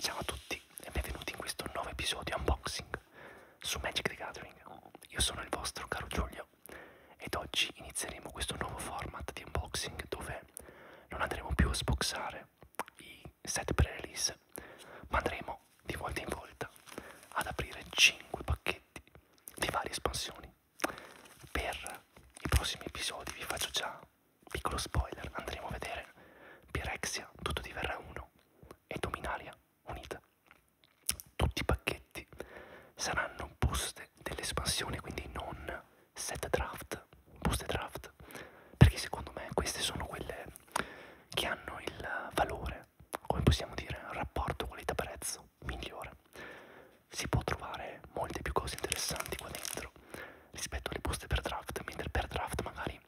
Ciao a tutti e benvenuti in questo nuovo episodio unboxing su Magic the Gathering. Io sono il vostro caro Giulio ed oggi inizieremo questo nuovo format di unboxing dove non andremo più a sboxare i set pre-release, ma andremo di volta in volta ad aprire 5 pacchetti di varie espansioni. Per i prossimi episodi vi faccio già Piccolo spoiler, andremo a vedere Pirexia, tutto diverrà uno e Dominaria unita. Tutti i pacchetti saranno buste dell'espansione, quindi non set draft, buste draft, perché secondo me queste sono quelle che hanno il valore, come possiamo dire, rapporto qualità-prezzo migliore. Si può trovare molte più cose interessanti qua dentro rispetto alle poste per draft, mentre per draft magari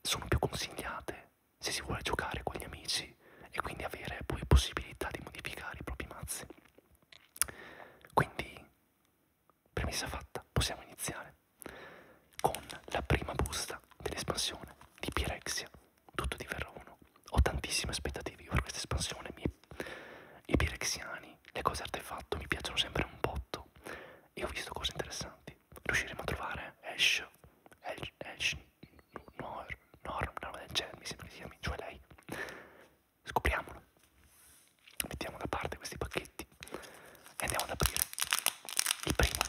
sono più consigliate se si vuole giocare con gli amici e quindi avere poi possibilità di modificare i propri mazzi. Quindi, premessa fatta, possiamo iniziare con la prima busta dell'espansione di Pirexia, tutto di Verrono. Ho tantissime aspettative io per questa espansione, mi... i pirexiani, le cose artefatto mi piacciono sempre un botto, e ho visto cose interessanti. Riusciremo a trovare Ash, Ash, Ash Norm, Norm, Norm del genere, mi sembra che si chiami, cioè lei. Scopriamolo. Mettiamo da parte questi pacchetti e andiamo ad aprire il primo.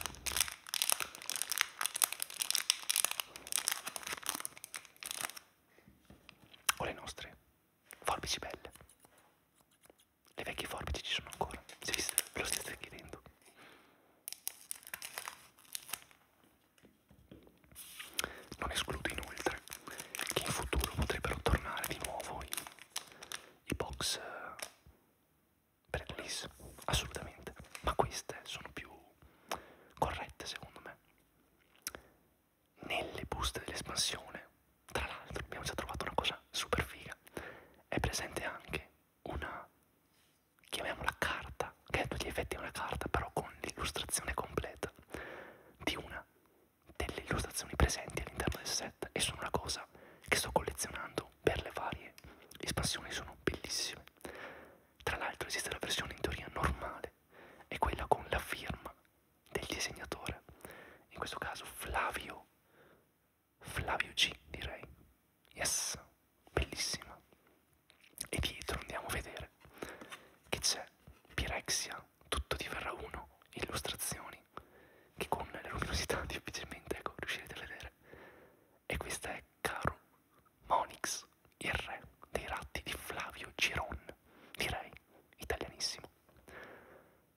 Con le nostre forbici belle. Le vecchie forbici ci sono ancora, se vi ve lo state chiedendo. Non escludo inoltre che in futuro potrebbero tornare di nuovo i, i box Bradley's, eh, assolutamente, ma queste sono più corrette secondo me nelle buste dell'espansione, tra l'altro abbiamo già trovato una cosa super figa, è presente anche una, chiamiamola carta, che a tutti gli effetti è una carta, però con l'illustrazione completa di una delle illustrazioni presenti all'interno del set e sono una cosa che sto collezionando per le varie espansioni, sono bellissime. Tra l'altro esiste la versione in teoria normale e quella con la firma del disegnatore, in questo caso Flavio, Flavio G direi, yes, bellissima. E dietro andiamo a vedere che c'è Pirexia, tutto diverrà uno, illustrazioni, che con la luminosità difficilmente ecco, riuscirete a vedere. E questa è Caro Monix, il re dei ratti di Flavio Giron, direi italianissimo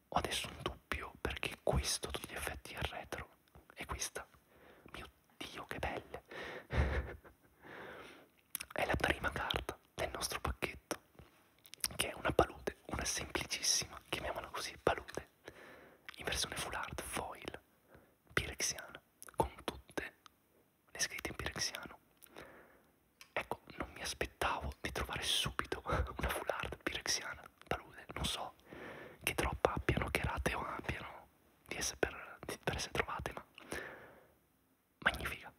ho adesso un dubbio perché questo a tutti gli effetti è retro e questa, mio dio che belle, è la prima carta del nostro pacchetto che è una palude, una semplicissima, chiamiamola così, palude in versione full art foil pirexiana con tutte le scritte in pirexiano Ecco, non mi aspettavo di trovare subito una foulard pirexiana, palude, non so che troppa abbiano, che rate o abbiano di essere per, di, per essere trovate, ma magnifica,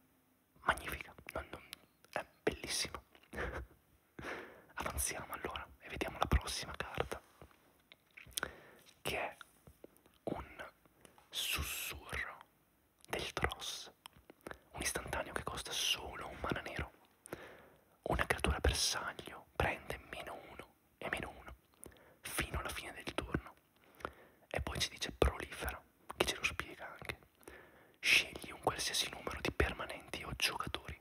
magnifica, non, non, è bellissima. Avanziamo allora e vediamo la prossima carta, che è un sussurro del Tross, un istantaneo che costa solo un mana nero una creatura bersaglio prende meno 1 e meno 1 fino alla fine del turno. E poi ci dice prolifera, che ce lo spiega anche. Scegli un qualsiasi numero di permanenti o giocatori,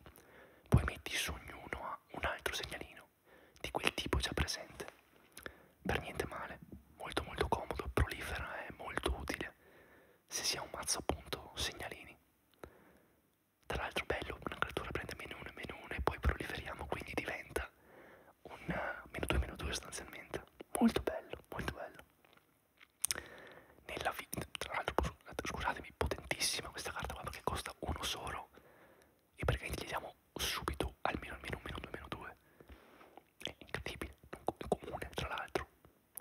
poi metti su ognuno a un altro segnalino di quel tipo già presente. Per niente male, molto molto comodo, prolifera è molto utile se si ha un mazzo appunto segnalini. Tra l'altro bello, una creatura prende meno 1 e meno 1 e poi proliferiamo, quindi diventa un eh, meno 2 meno 2 sostanzialmente. Molto bello, molto bello. Nella vita, tra l'altro scusatemi, potentissima questa carta qua perché costa uno solo e perché gli diamo subito almeno almeno un meno 2 meno 2. È incredibile, è comune tra l'altro,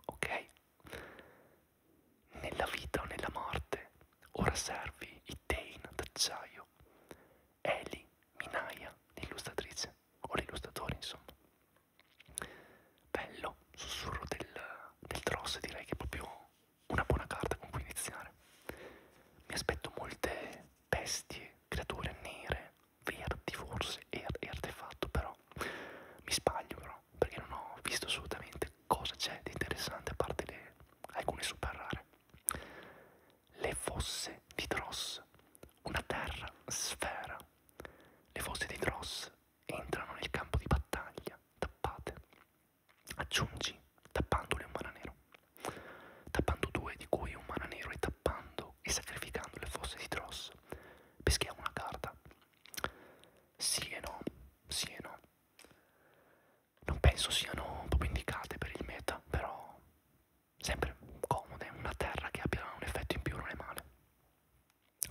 ok? Nella vita o nella morte, ora servi Ittein d'acciaio, Eli, Minaia, l'illustratrice, o l'illustratore insomma. Bello, sussurro del, del Tross, direi che è proprio una buona carta con cui iniziare. Mi aspetto molte bestie, creature nere, verdi forse, e, er, e artefatto però. Mi sbaglio però perché non ho visto assolutamente cosa c'è di interessante a parte le, alcune super rare. Le fosse di Dross, una terra sfera. Le fosse di Dross entrano nel campo di battaglia, tappate. Aggiungi tappandole un mana nero, tappando due di cui un mana nero e tappando e sacrificando le fosse di Dross. Peschia una carta sì e no, sì e no. Non penso siano proprio indicate per il meta, però sempre comode una terra che abbia un effetto in più non è male.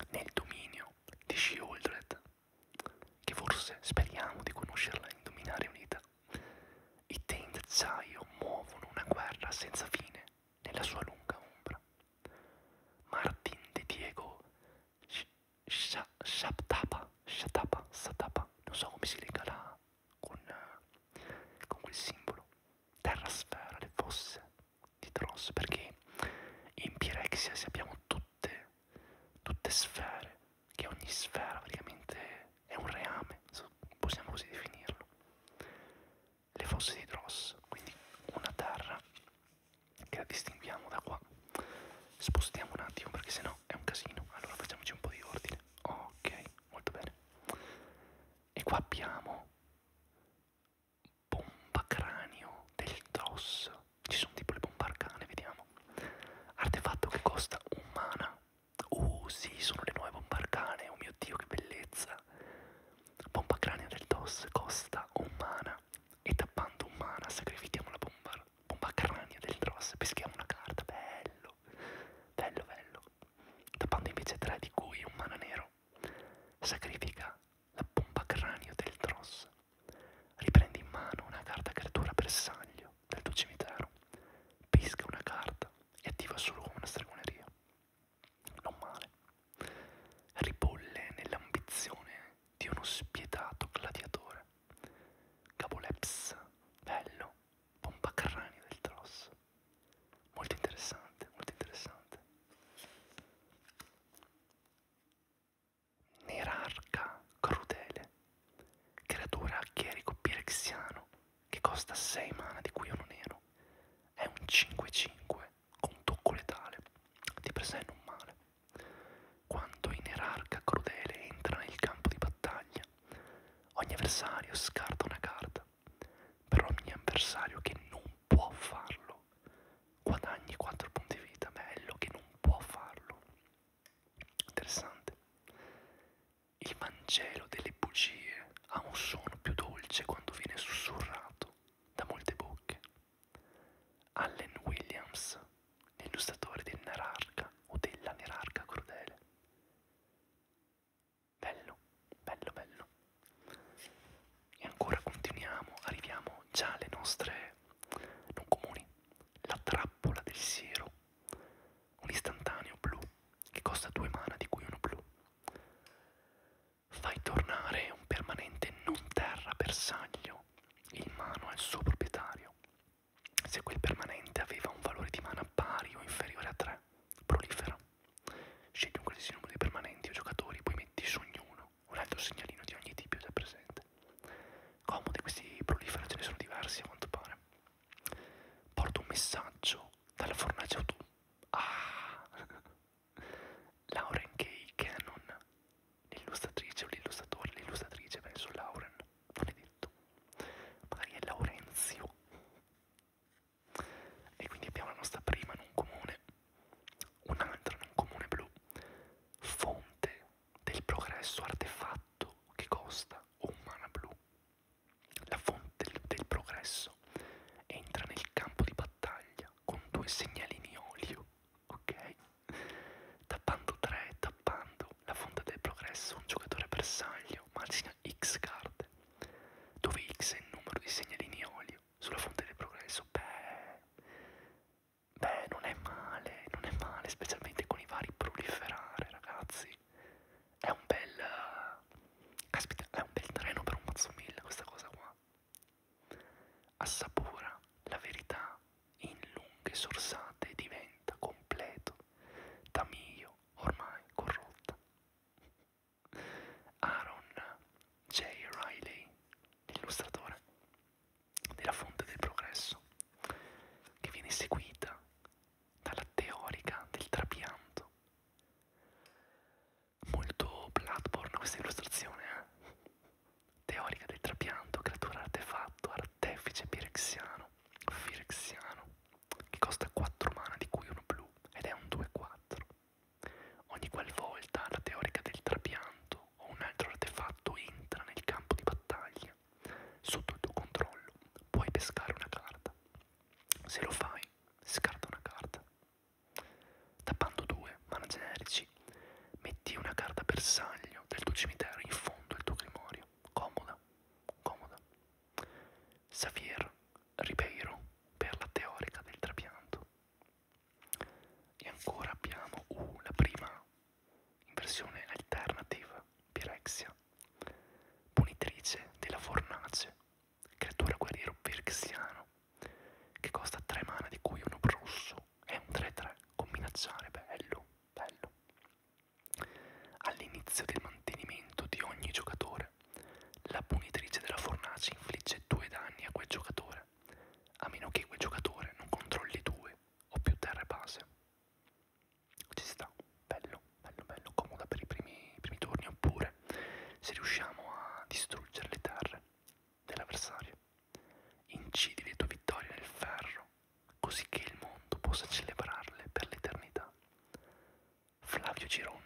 Nel dominio di Shieldred, che forse speriamo di conoscerla in Dominare Unita, i Tainted Zaio muovono una guerra senza fine nella sua lunga ombra. Martin De Diego Shatapa, Shatapa, Satapa, non so come si lega là con, con quel simbolo, terrasfera, le fosse di Tros, perché in Pirexia se abbiamo tutte, tutte sfere, che ogni sfera praticamente è un reame, possiamo così definirlo, le fosse di Dross, quindi una terra che la distinguiamo da qua. Spostiamo un attimo perché sennò è un casino. Allora facciamoci un po' di ordine. Ok, molto bene. E qua abbiamo bomba cranio del Dross. Ci sono tipo le bombe arcane, vediamo. Artefatto che costa un mana. Oh uh, sì, sono le nuove bombe arcane. Oh mio dio, che bellezza. Bomba cranio del DOS costa un mana e tappando un mana sacrifichiamo la bomba, bomba crania del Dross, peschiamo una carta, bello, bello, bello. Tappando invece tre di cui un mana nero, sacrifica la bomba cranio del Dross, riprende in mano una carta creatura bersaglio del tuo cimitero, pesca una carta e attiva solo come una stregoneria non male, ribolle nell'ambizione di uno spietato gladiatore. Capoleps, bello, pompa cranio del Tross. Molto interessante, molto interessante. Nerarca crudele, creatura chierico pirexiano che costa 6 mana di cui uno nero. È un 5-5 con tocco letale, di per sé non male. Quando in erarca crudele entra nel campo di battaglia, ogni avversario scarta una carta. Per ogni avversario che non può farlo, guadagni 4 punti vita. Bello che non può farlo. Interessante. Il Vangelo delle bugie ha un suono più dolce quando viene sussurrato da molte bocche. Allen Williams, l'illustratore del Nerarca o della Nerarca crudele. Bello, bello, bello. E ancora continuiamo, arriviamo già alle nostre non comuni. La trappola del siero, un istantaneo blu che costa due mana di cui uno blu fai tornare un permanente non terra bersaglio in mano al suo proprietario se quel permanente aveva un valore di mana pari o inferiore a 3 prolifera scegli un qualsiasi numero di permanenti o giocatori poi metti su ognuno un altro segnalino di ogni tipo già presente comodi questi prolifera ce ne sono diversi a quanto pare porta un messaggio dalla fornace autunno ah Lauren K. Cannon, l'illustratrice o l'illustratore, l'illustratrice penso Lauren, non è detto, magari è Laurenzio. E quindi abbiamo la nostra prima non comune, un'altra non comune blu, fonte del progresso artefatto che costa o umana blu. La fonte del, del progresso entra nel campo di battaglia battaglia con due segnalini olio, ok? Tappando 3, tappando la fonte del progresso, un giocatore bersaglio margina X carte, dove X è il numero di segnalini olio sulla fonte del progresso. Beh, beh, non è male, non è male, specialmente con i vari proliferare, ragazzi. È un bel... Eh, caspita, è un bel treno per un mazzo mille questa cosa qua. Assapora la verità in lunghe sorsate e diventa completo, da mio ormai corrotta. Aaron J. Riley, l'illustratore della fonte del progresso, che viene seguita dalla teorica del trapianto molto Bloodborne questa illustrazione eh? teorica del trapianto, creatura artefatto, artefice pirexiano, firexiano, che costa 4 mana di cui uno blu ed è un 2-4. Ogni qualvolta la teorica del trapianto o un altro artefatto entra nel campo di battaglia, sotto il tuo controllo puoi pescare una carta. Se lo fai, scarta una carta. Tappando due mana generici, metti una carta bersaglio del tuo cimitero in fondo al tuo grimorio. Comoda, comoda. Xavier Ribeiro per la teorica del trapianto. E ancora abbiamo uh, la prima in versione alternative, Pirexia, punitrice della fornace, creatura guerriero pirxiano che costa 3 mana di cui uno rosso. È un 3-3, combinazionale, bello, bello. All'inizio del mantenimento di ogni giocatore, la punitrice della fornace infligge 2 danni a quel giocatore, a meno che quel giocatore non controlli 2 o più terre base. Ci sta, bello, bello, bello, comoda per i primi, i primi turni, oppure se riusciamo a distruggere le terre dell'avversario. Incidi le tue vittorie nel ferro, così che il mondo possa celebrarle per l'eternità. Flavio Giron.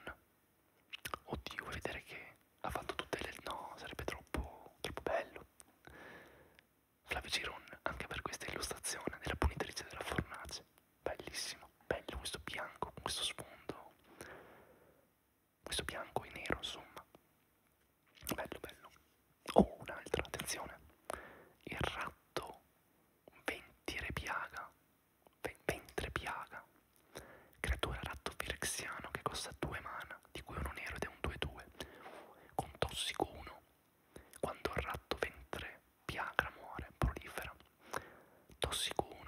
Oddio, vuoi vedere che ha fatto tutte le... no, sarebbe troppo, troppo bello. Flavio Giron, anche per questa illustrazione della punitrice della fornace. Bellissimo, bello questo bianco, questo sfondo questo bianco e nero insomma bello bello oh un'altra attenzione il ratto ventirepiaga ventrepiaga creatura ratto firexiano che costa 2 mana di cui uno nero ed è un 2-2 con tossico 1 quando il ratto ventre piagra muore prolifera tossico 1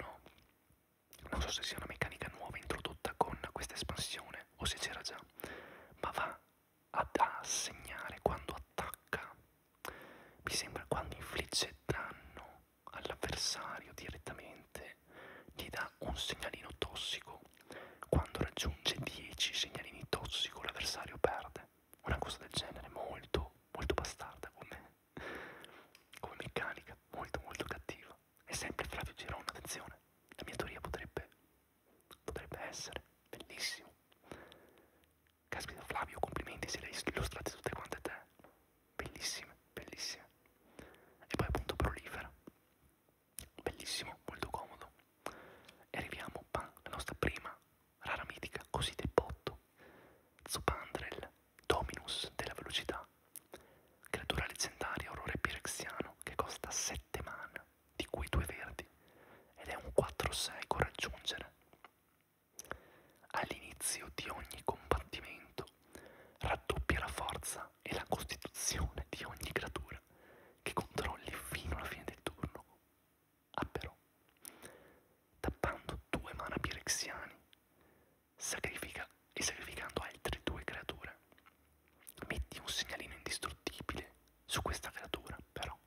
non so se sia una meccanica nuova introdotta con questa espansione o se c'era già, ma va ad assegnare quando attacca. Mi sembra quando infligge danno all'avversario direttamente, gli dà un segnalino tossico. Quando raggiunge 10 segnalini tossico l'avversario perde. Una cosa del genere, molto, molto bastarda come, come meccanica, molto molto cattiva. È sempre Flavio Girone, attenzione. La mia teoria potrebbe, potrebbe essere bellissimo. Caspita Flavio, complimenti se le hai illustrate tutte quante te. Bellissime, bellissime. E poi appunto prolifera. Bellissimo, molto comodo. E arriviamo pan, la nostra prima rara mitica, così del botto. Zopandrel, dominus della velocità. Creatura leggendaria orrore pirexiano che costa 7 mana, di cui 2 verdi, ed è un 4-6 con raggiungere. All'inizio di ogni combattimento raddoppia la forza e la costituzione di ogni creatura che controlli fino alla fine del turno. Ah però, tappando due mana pirexiani, sacrifica e sacrificando altre due creature. Metti un segnalino indistruttibile su questa creatura, però.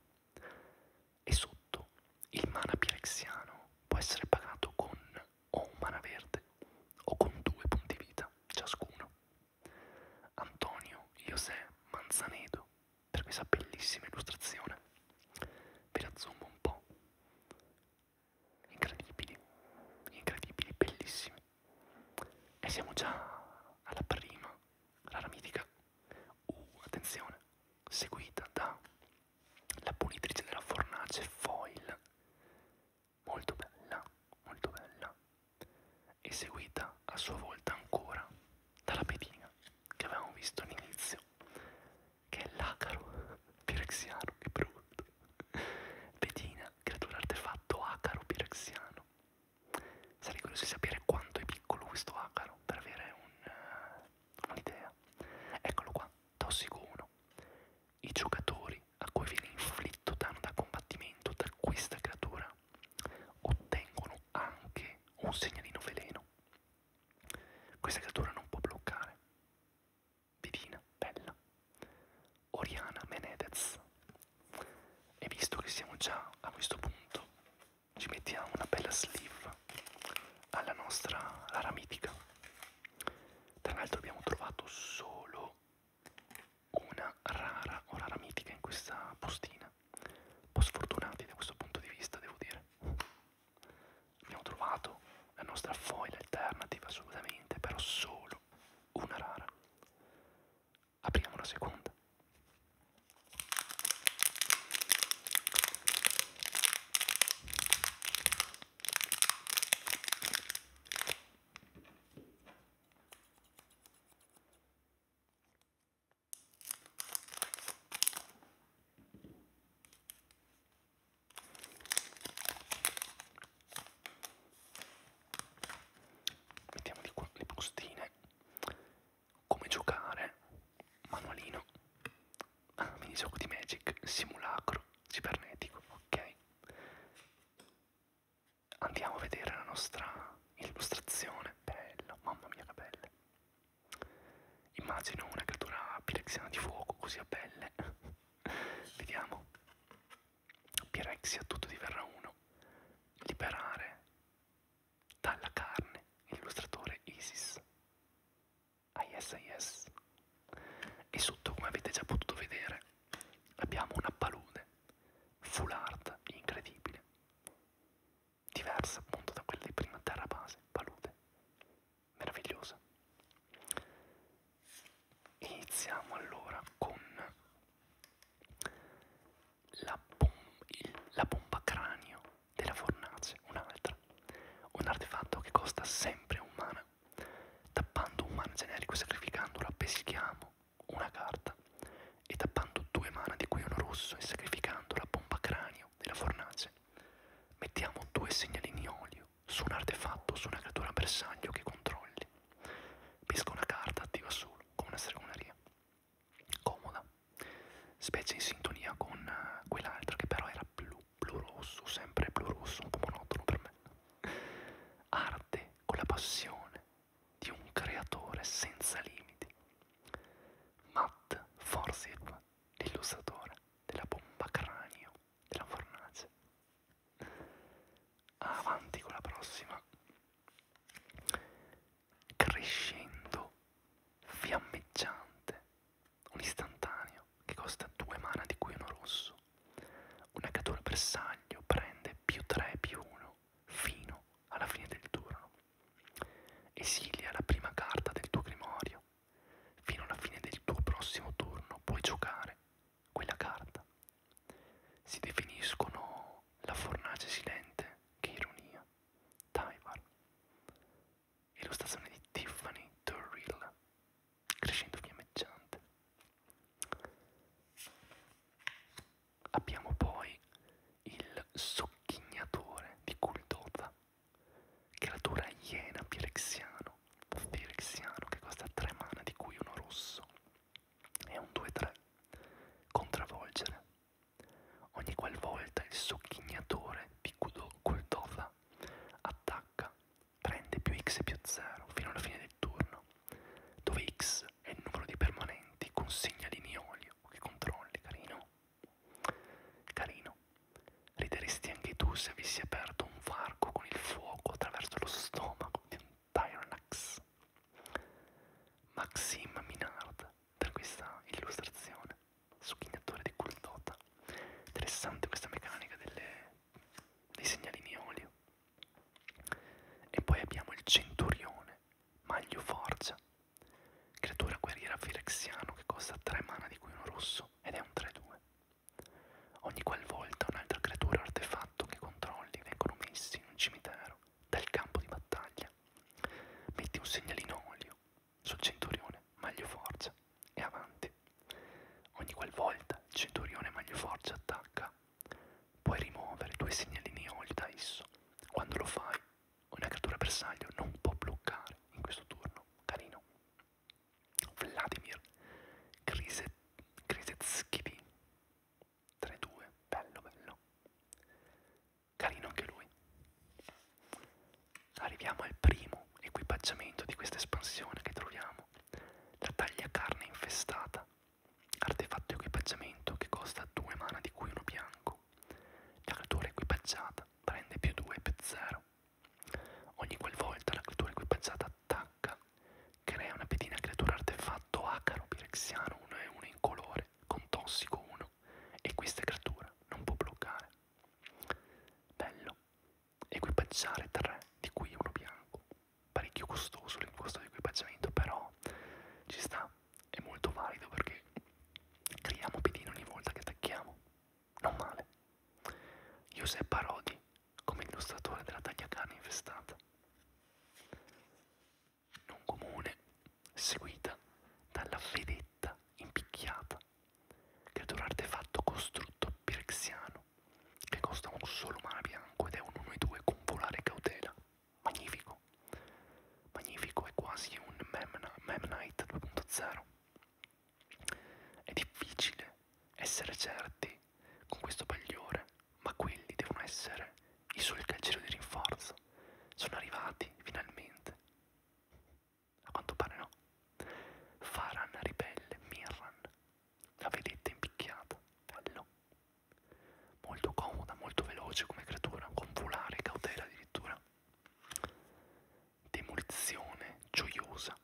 E sotto il mana pirexiano può essere pagato con o un mana verde o con due punti vita ciascuno. Antonio José Manzanedo per questa bellissima illustrazione. Ve la zoom un po' incredibili, incredibili, bellissimi. E siamo già alla prima, rara mitica. Uh, attenzione, seguita da la pulitrice della fornace foil, molto bella, molto bella, e seguita a sua volta ancora dalla pedina che avevamo visto all'inizio, che è l'acaro pirexiano che brutto. Pedina creatura artefatto acaro pirexiano. Sarei curioso di sapere quanto è piccolo questo acaro per avere eh, un'idea. Uh, un Eccolo qua, tossico 1. I giocatori a cui viene inflitto danno da combattimento da questa creatura ottengono anche un segnalino veleno. Questa creatura non può bloccare divina, bella, Oriana Menedez. E visto che siamo già a questo punto, ci mettiamo una bella sleeve alla nostra rara mitica. Tra l'altro abbiamo trovato solo una rara o rara mitica in questa postina. Un po' sfortunati da questo punto di vista, devo dire. Abbiamo trovato la nostra foil alternative assolutamente, però solo una rara. Apriamo la seconda. Mettiamo di qua le bustine. Come giocare? Manualino. Ah, minigioco di Magic, simulacro cibernetico, ok. Andiamo a vedere la nostra illustrazione. Bello, mamma mia che belle. Immagino una creatura pilexiana di fuoco così a pelle. Vediamo. Pirexia tutto diverrà uno. Liberare dalla carne l'illustratore Isis. ISIS. E sotto, come avete già potuto vedere, abbiamo una palude full art incredibile, diversa appunto da quella di prima terra base, palude meravigliosa. Iniziamo allora con la, bom il, la bomba cranio della fornace, un'altra, un artefatto che costa sempre un mana. Tappando un mana generico e sacrificandola peschiamo una carta e tappando due mana di cui uno rosso e sacrificando la bomba cranio della fornace mettiamo due segnalini olio su un artefatto, su una creatura bersaglio che controlli. Pesca una carta attiva solo, come una stregoneria. Comoda, specie in sintonia con eh, quell'altra che però era blu, blu rosso, sempre blu rosso, un po' monotono per me. Arte con la passione di un creatore senza limiti. Matt Forsyth, l'illustratore della bomba cranio della fornace avanti con la prossima crescendo fiammeggiante un istantaneo che costa due mana di cui uno rosso una cattura bersaglio prende più 3 più 1 fino alla fine del turno esilia la prima carta del tuo grimorio fino alla fine del tuo prossimo turno puoi giocare quella carta. Si definiscono la fornace silente, che ironia, Taivar. Illustrazione di Tiffany Turrill, crescendo fiammeggiante. Abbiamo poi il socchignatore di Kuldota, creatura iena pirexiano, pirexiano che costa 3 mana di cui uno rosso è un 2-3. Contravolgere. Ogni qualvolta il sogghignatore Picudo Kultova attacca, prende più x e più 0 fino alla fine del turno, dove x è il numero di permanenti, consegna l'ineolio che controlli, carino. Carino. Rideresti anche tu se avessi aperto un varco con il fuoco attraverso lo stomaco di un Tyronax. Maxim Minard per questa illustrazione, sogghignatore di Cultota. Interessante questa meccanica delle, dei segnalini olio. E poi abbiamo il Centurione, Maglio Forgia, creatura guerriera firexiano che costa 3 mana di cui uno rosso ed è un 3-2. Ogni qualvolta un'altra creatura o artefatto che controlli vengono messi in un cimitero dal campo di battaglia, metti un segnalino olio sul centurione maglio forza e avanti. Ogni qualvolta il centurione maglio forza attacca, puoi rimuovere due segnalini olio da esso. Quando lo fai, una creatura bersaglio non può bloccare in questo turno. Carino. Vladimir Kriset Krisetskipi 3-2, bello bello. Carino anche lui. Arriviamo al primo equipaggiamento di questa espansione che troviamo, la taglia carne infestata, artefatto equipaggiamento che costa 2 mana di cui uno bianco. La creatura equipaggiata prende più 2 più 0. Ogni qualvolta la creatura equipaggiata attacca H crea una pedina creatura artefatto acaro pirexiano 1 e 1 in colore con tossico 1 e questa creatura non può bloccare. Bello. Equipaggiare 3, di cui uno bianco. Parecchio costoso il costo di equipaggiamento, però ci sta, è molto valido perché creiamo pedine ogni volta che attacchiamo. Non male. Giuseppe Parodi come illustratore della tagliacana infestata, non comune, seguita dalla vedetta impicchiata, creatura artefatto costrutto pirexiano, che costa un solo mana bianco ed è un 1-2 con volare cautela, magnifico, magnifico è quasi un Memnite 2.0, è difficile essere certi con questo bagliore, ma quelli devono essere i suoi calcieri di rinforzo. Sono arrivati finalmente. A quanto pare no. Faran ribelle Mirran. La vedete impicchiata. Bello. Molto comoda, molto veloce come creatura, con volare cautela addirittura. Demolizione gioiosa.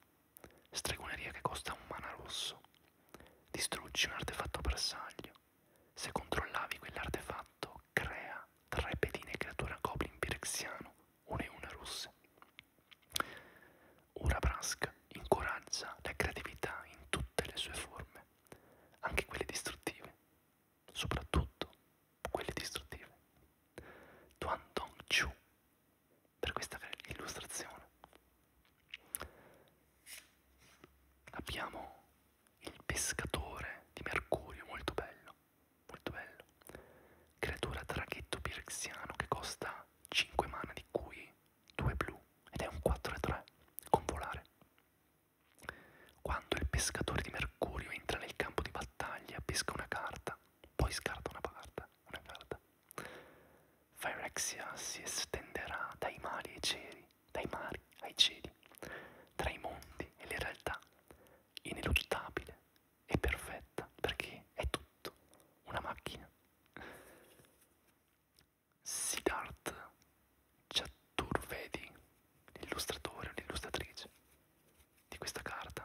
Stregoneria che costa un mana rosso. Distruggi un artefatto bersaglio. Se controllavi quell'artefatto, crea tre pedine creatura goblin pirexiano, una e una russe. Ura Brask incoraggia la creatività in tutte le sue forme, anche quelle distruttive, soprattutto quelle distruttive. Tuan Dong Chu per questa illustrazione. Abbiamo il pescatore di Mercurio, molto bello, molto bello. Creatura traghetto pirexiano che costa 5 mana di cui 2 blu ed è un 4-3 con volare. Quando il pescatore di Mercurio entra nel campo di battaglia, pesca una carta, poi scarta una carta, una carta. Phyrexia si estenderà dai mari ai cieli, dai mari ai cieli, tra i mondi e le realtà, ineluttabile e perfetta, perché è tutto una macchina. Siddharth Chaturvedi, l'illustratore o l'illustratrice di questa carta,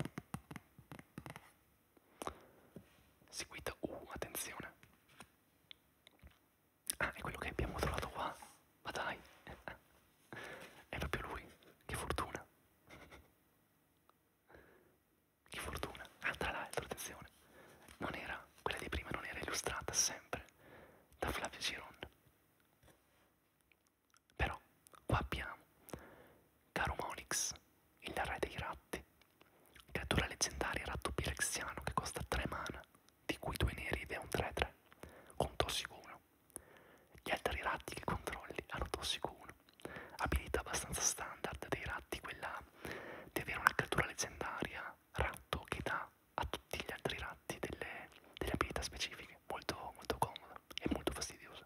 seguita uh attenzione ah è quello che abbiamo trovato qua ma dai è proprio lui che fortuna che fortuna ah tra l'altro attenzione non era quella di prima non era illustrata sempre da Flavio Giron però qua abbiamo Caro Monix il re dei ratti, creatura leggendaria ratto pirexiano che costa 3 mana, di cui 2 neri ed è un 3-3, con tossico 1. Gli altri ratti che controlli hanno tossico 1, abilità abbastanza standard dei ratti, quella di avere una creatura leggendaria ratto che dà a tutti gli altri ratti delle, delle abilità specifiche, molto, molto comoda e molto fastidiosa.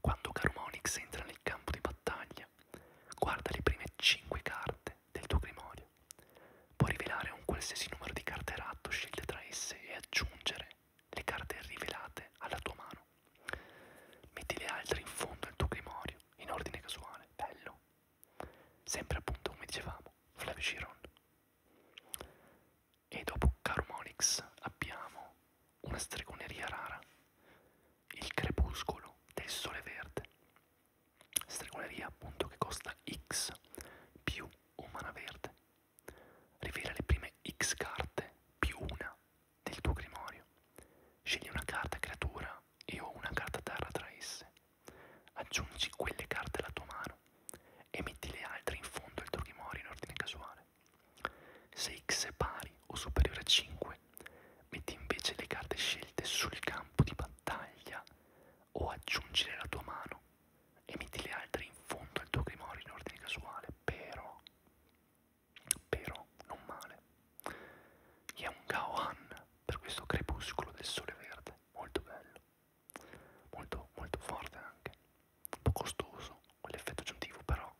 Quando Carumonix entra nel campo di battaglia, Guarda le prime 5 carte del tuo grimorio. Puoi rivelare un qualsiasi numero di carte ratto scelte tra esse e aggiungere le carte rivelate alla tua mano. Metti le altre in fondo al tuo grimorio in ordine casuale. Bello. Sempre appunto come dicevamo, Flavio Chiron. E dopo Carmonix abbiamo una stregoneria rara il crepuscolo del sole verde, stregoneria appunto che costa X più o mana verde, rivela le prime X carte più una del tuo grimorio, scegli una carta creatura e o una carta terra tra esse, aggiungi quelle carte alla tua mano e metti le altre in fondo al tuo grimorio in ordine casuale. Se X è pari o superiore a 5 metti invece le carte scelte sul campo di battaglia o aggiungile la tua mano e metti le altre in fondo al tuo grimorio in ordine casuale, però, però non male. E è un Gaohan per questo crepuscolo del sole verde, molto bello, molto, molto forte anche, un po' costoso, quell'effetto aggiuntivo, però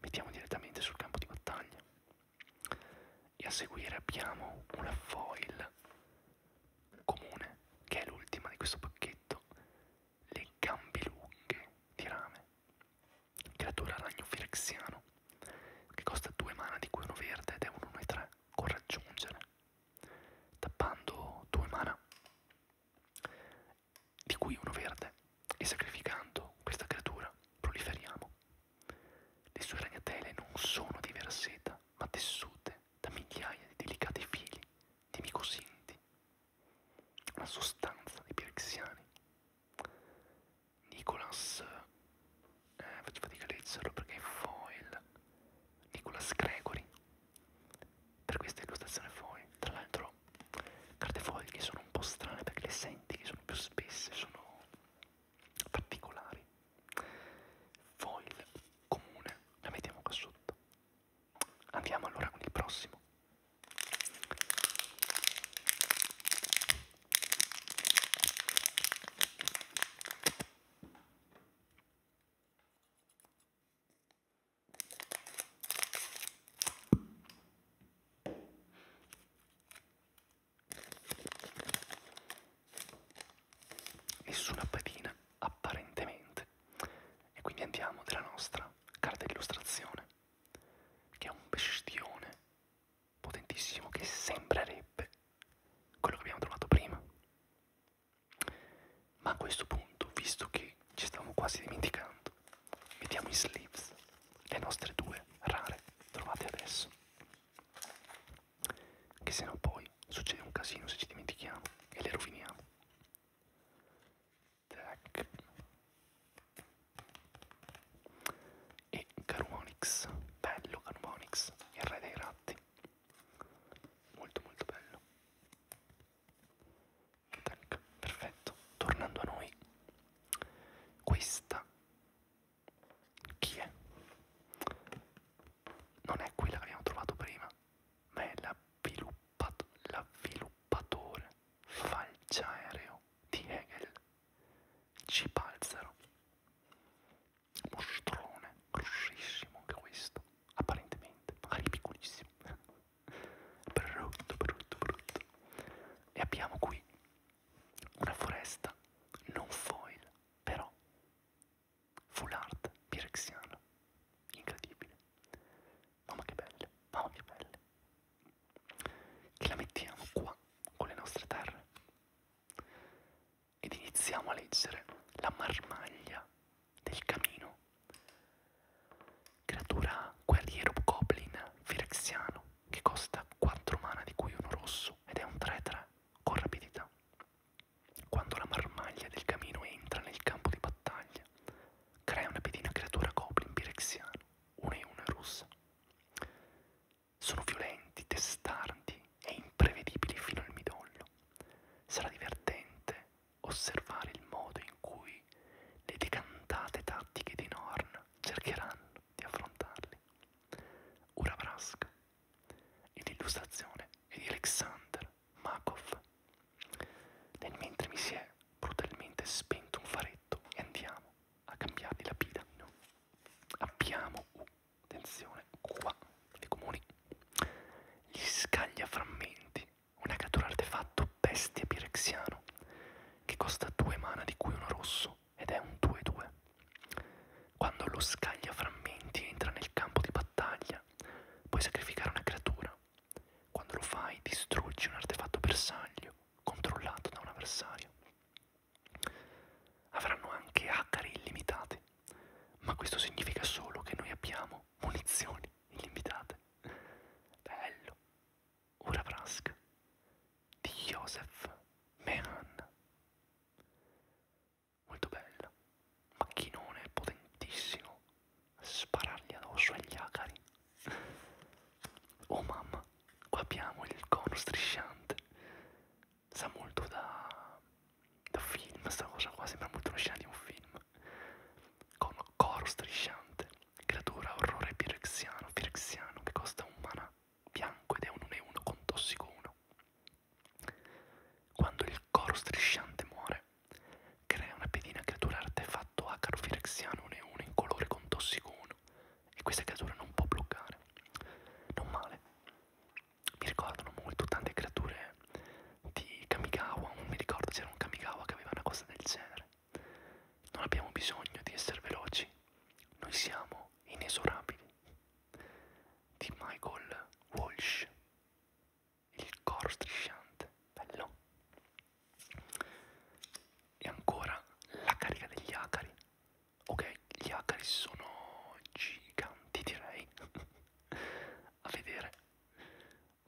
mettiamo direttamente sul campo di battaglia e a seguire abbiamo una foil comune che è l'ultima di questo pacchetto le gambe lunghe di rame creatura ragno firexiano che costa 2 mana di cui uno verde ed è un 1-3 con raggiungere tappando 2 mana di cui uno verde e sacrificando questa creatura proliferiamo le sue ragnatele non sono di verseta, ma tessute da migliaia di delicati fili di micosinti, una sostanza dei pirexiani. Nicolas, eh, faccio fatica a leggerlo perché è foil, Nicolas Gregory, per questa illustrazione foil. Tra l'altro, carte foil che sono un po' strane perché le senti che sono più spesse, sono particolari foil comune la mettiamo qua sotto andiamo allora con il prossimo e sulla pedina apparentemente e quindi andiamo della nostra carta d'illustrazione che è un bestione potentissimo che sembrerebbe quello che abbiamo trovato prima ma a questo punto visto che ci stavamo quasi dimenticando mettiamo i sleeves le nostre due rare trovate adesso. Che se no poi succede un casino se ci dimentichiamo e le roviniamo. Tac. E Carumonix, bello Carumonix, il re dei ratti. Molto molto bello. Tac, perfetto. Tornando a noi, questa chi è? Non è quella che abbiamo trovato prima, ma è l'avviluppato, l'avviluppatore falciaereo di Hegel. Cipalzaro. Mostrone, grossissimo anche questo, apparentemente, magari piccolissimo. brutto, brutto, brutto. E abbiamo qui una foresta non foil, però full art pirexiana. Incredibile. Mamma che belle, mamma che belle. Che la mettiamo qua con le nostre terre. Ed iniziamo a leggere la marmaglia del camino. Creatura guerriero goblin firexiano che costa 4 mana di cui uno rosso ed è un 3-3 con rapidità. Quando la marmaglia del camino entra nel campo di battaglia, crea una pedina creatura goblin pirexiano, 1 e 1 rossa. Sono violenti, testardi e imprevedibili fino al midollo. Sarà divertente osservare il modo in cui le decantate tattiche di Norn cercheranno di affrontarli. Ura Vrask e l'illustrazione è di Alexander Makov. Nel mentre mi si è brutalmente spento un faretto e andiamo a cambiargli la pila. No. Abbiamo, uh, attenzione, qua, le comuni, gli scagliaframmenti, una cattura artefatto bestia pirexiano che costa due mana di cui uno rosso 1 ed è un 2-2. Quando lo scaglia frammenti entra nel campo di battaglia, puoi sacrificare una creatura. Quando lo fai distruggi un artefatto bersaglio controllato da un avversario. Avranno anche hacker illimitati, ma questo significa solo che noi abbiamo munizioni illimitate. Bello, Uraprask di Joseph Mehan. Molto bella, macchinone potentissimo, sparargli addosso agli acari. Oh mamma, qua abbiamo il cono strisciante. Sa molto da, da film, sta cosa qua, sembra molto una scena di un film. Cono coro strisciante, creatura orrore pirexiano, pirexiano che costa un mana bianco ed è un 1-1 con tossico 1. Quando il coro strisciante muore, crea una pedina creatura artefatto acaro firexiano 1-1 in colore con tossico 1 e questa creatura non può bloccare. Non male. Mi ricordano molto tante creature di Kamigawa, non mi ricordo c'era un Kamigawa che aveva una cosa del genere. Non abbiamo bisogno di essere veloci, noi siamo inesorabili di Michael Walsh. Il coro strisciante, bello. E ancora la carica degli acari. Ok, gli acari sono giganti, direi. A vedere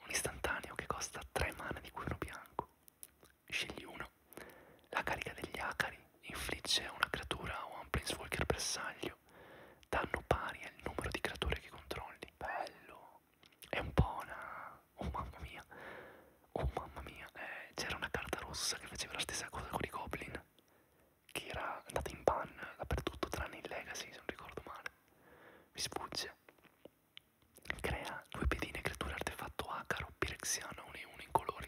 un istantaneo che costa 3 mana di cuoio bianco Scegli uno. La carica degli acari infligge a una creatura o a un planeswalker bersaglio danno pari al numero di creature che controlli. Bello! È un po' una... Oh mamma mia! Oh mamma mia! Eh, c'era una carta rossa che faceva la stessa cosa con i goblin, che era andata in ban dappertutto tranne in Legacy, se non ricordo male. Mi sfugge. Crea due pedine creature artefatto acaro pirexiano, uno e uno in colori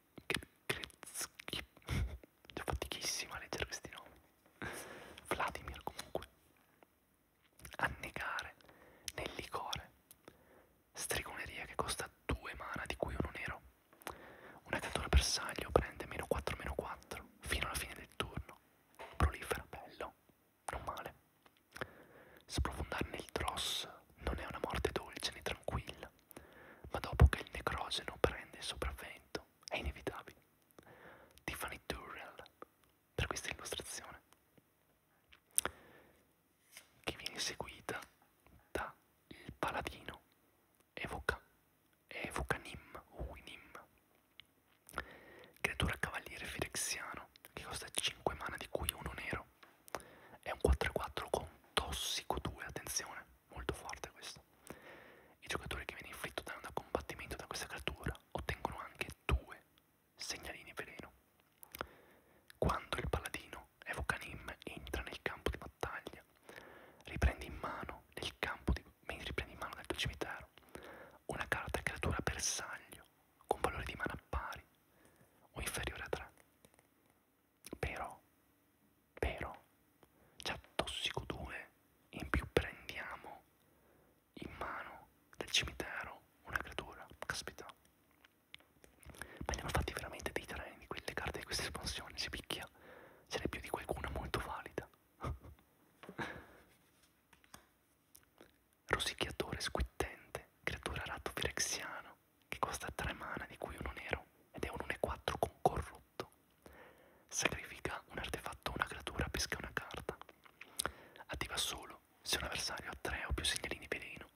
Già fatichissima a leggere questi nomi. Vladimir comunque. Annegare nel licore. Stregoneria che costa 2 mana di cui uno nero. Una cattura bersaglio prende meno 4 meno 4 fino alla fine del turno. Prolifera bello. Non male. Sprofondare nel dross non è una morte dolce né tranquilla ma dopo che il necrogeno prende il sopravvento è inevitabile. Tiffany Durrell per questa illustrazione che viene seguita da il paladino Evoca, Evoca Nim, Uinim, creatura cavaliere firexiano che costa 5 mana di cui uno nero, è un 4-4 con tossico 2, attenzione, molto forte questo. I giocatori che viene inflitto da un combattimento da questa creatura ottengono anche due segnalini veleno. Quando il paladino Evocanim entra nel campo di battaglia, riprende in mano nel campo di, riprende in mano nel tuo cimitero una carta creatura bersaglio con valore di mana pari o inferiore a 3 però, però, c'ha Tossico 2, in più prendiamo in mano del cimitero una creatura, caspita. Ma li hanno fatti veramente dei treni, quelle carte di questa espansione, si picchia, ce n'è più di qualcuna molto valida. Rosicchiatore squittente, creatura ratto firexiano, che costa 3 mana di cui uno nero ed è un 1-4 con corrotto. Sacrifica un artefatto o una creatura, pesca una carta. Attiva solo se un avversario ha 3 o più segnalini veleno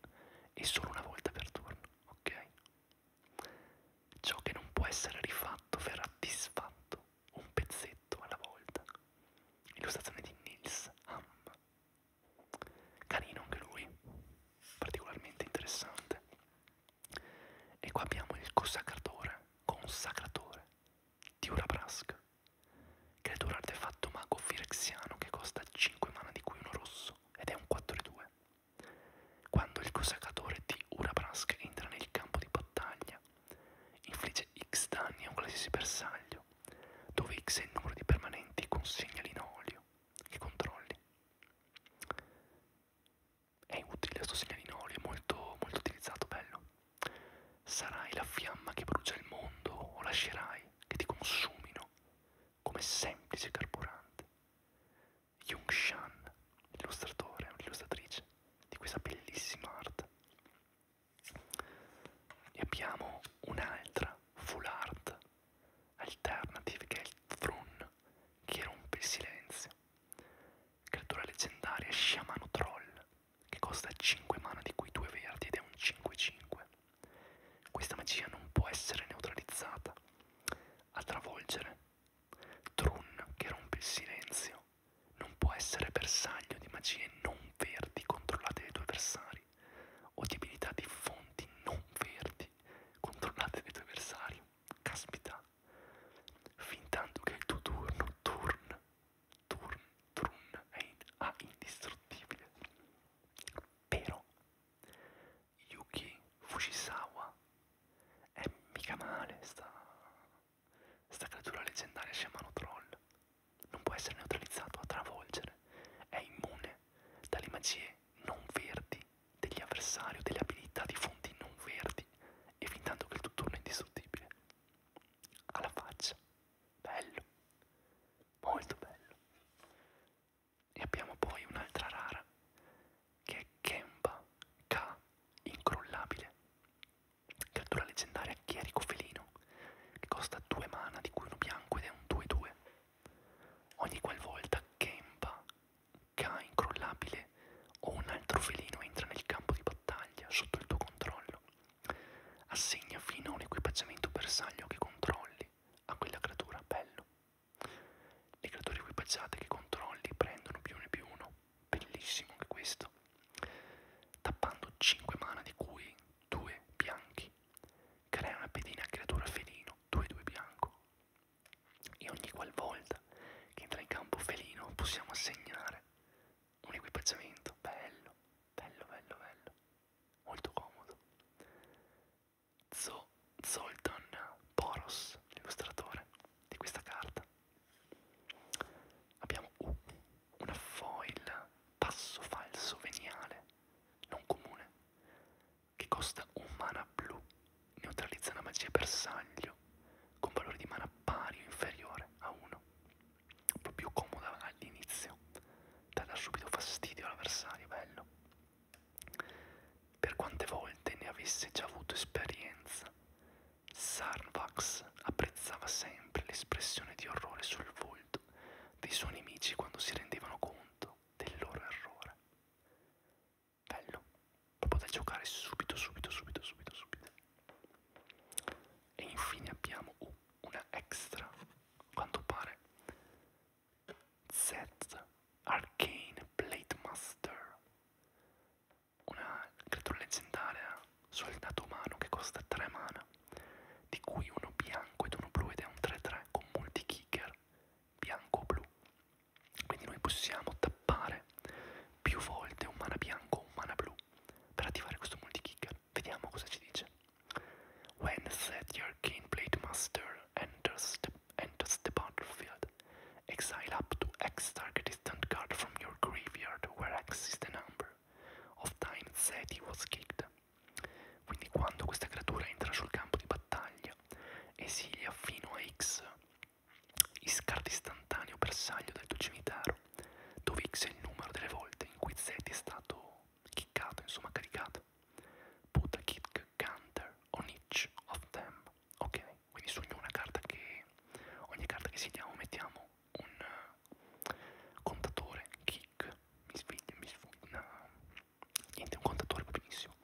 e solo una volta per turno, ok? Ciò che non può essere rifatto verrà disfatto un pezzetto alla volta. Illustrazione di Nils Hamm. Carino anche lui, particolarmente interessante. E qua abbiamo il consacratore, consacratore di Urabrask, creatura artefatto mago firexiano che costa 5 mana di cui uno rosso ed è un 4-2. Quando il consacratore di Urabrask entra nel campo di battaglia, infligge X danni a un qualsiasi bersaglio, dove X è il numero di permanenti, consegnali in olio che controlli. È utile questo segnalino olio, è molto, molto utilizzato, bello. Sarai la fiamma che brucia il mondo o lascerai che ti consumino come semplice carburante. Yung Shan, l'illustratore, l'illustratrice di questa bellissima arte. E abbiamo un'altra full art Alternative che è il Thrun che rompe il silenzio. Creatura leggendaria Sciamano Troll che costa 5 mana di cui 2 verdi ed è un 5-5. Questa magia non può essere neutralizzata. A travolgere. Trun che rompe il silenzio. Non può essere bersaglio di magie non verdi controllate dai tuoi avversari o di abilità di fonti non verdi controllate dai tuoi avversari caspita, fin tanto che il tuo turno, turn, turn, turn, è in A ah, indistruttibile. Però, Yuki Fujisawa è mica male sta, sta creatura leggendaria sciamano troll. Non può essere neutralizzato a travolgere. È immune dalle magie non verdi degli avversari o delle abilità di fonti non verdi e fin tanto che il tuo turno è indistruttibile. Alla faccia. Bello. Molto bello. E abbiamo poi un'altra rara che è Kemba K incrollabile. Cattura leggendaria Chierico Felino che costa 2 mana di cui uno bianco ed è un 2-2. Ogni qualvolta Kemba K incrollabile o un altro felino entra nel campo di battaglia sotto il tuo controllo. Assegna fino a un equipaggiamento bersaglio che controlli a quella creatura, bello. Le creature equipaggiate che controlli prendono più ne più uno, bellissimo anche questo. Tappando 5 mana di cui 2 bianchi, crea una pedina creatura felino, 2-2 bianco, e ogni qualvolta che entra in campo felino possiamo assegnare un equipaggiamento bello, bello, bello, bello, molto comodo. Zo Zoltan Poros, l'illustratore di questa carta. Abbiamo uh, una foil passo falso veniale, non comune, che costa un mana blu, neutralizza una magia bersaglio con valore di mana pari o inferiore a 1. Proprio più comoda all'inizio, da dar subito fastidio all'avversario, bello. Per quante volte ne avesse già avuto esperienza, Sarvax apprezzava sempre l'espressione di orrore sul volto dei suoi nemici quando si rendevano conto del loro errore bello proprio da giocare subito subito subito subito subito e infine abbiamo uh, una extra quanto pare Z Arcane Plate Master una creatura leggendaria sul dato umano che costa 3 mana di cui uno bianco ed uno blu ed è un 3-3 con multi kicker bianco-blu quindi noi possiamo tappare più volte un mana bianco o un mana blu per attivare questo multi-kicker. Vediamo cosa ci dice. When set your gameblade master enters the, enters the battlefield, exile up to X target distant card from your graveyard where X is the number of times Zeti was kicked. Quindi quando questa creatura entra sul campo di battaglia Esilia fino a X, Iscard istantaneo bersaglio del tuo cimitero, dove X è il numero delle volte in cui Z è stato kickato, insomma caricato. Put a kick counter on each of them. Ok, quindi su ogni carta che ogni carta che sediamo mettiamo un uh, contatore kick, mi sfiglio, mi sfiglio, no, niente un contatore va benissimo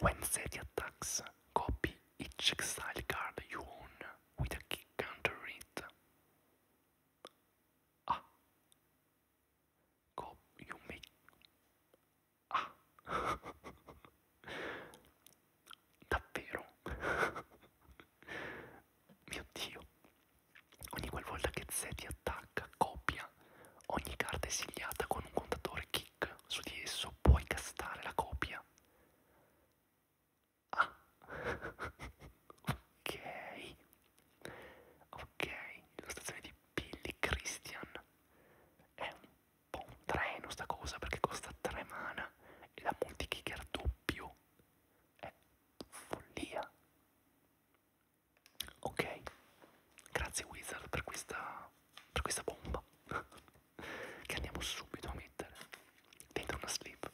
when SETI attacks copy each exile card you own with a key counter it ah Co you make ah davvero mio dio ogni qualvolta che SETI attacca copia ogni carta esiliata con un contatore key clic su di esso può incastrare la copia. Ah, ok, ok, l'illustrazione di Billy Christian è un po' un treno sta cosa perché costa 3 mana e da multikicker doppio è follia. Ok, grazie Wizard per questa per questa bomba che andiamo subito a mettere dentro una slip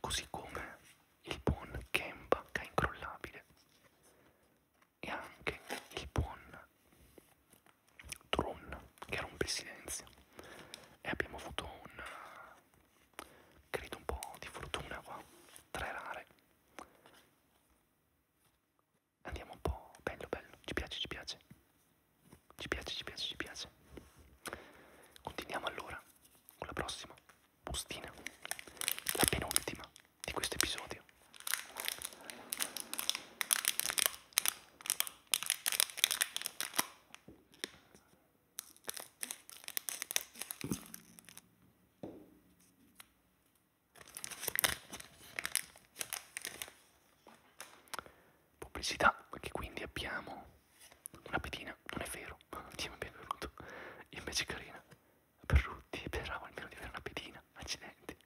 così come il buon Kemba che è incrollabile e anche il buon Tron che rompe il silenzio e abbiamo avuto un credo un po' di fortuna qua tre rare andiamo un po' bello bello, ci piace, ci piace, ci piace, ci piace, ci piace. Continuiamo allora con la prossima bustina, la penultima di questo episodio. Pubblicità, che quindi abbiamo una pedina, non è vero, diamo benvenuto, invece carina, Berrutti, speravo almeno di avere una pedina, accidenti.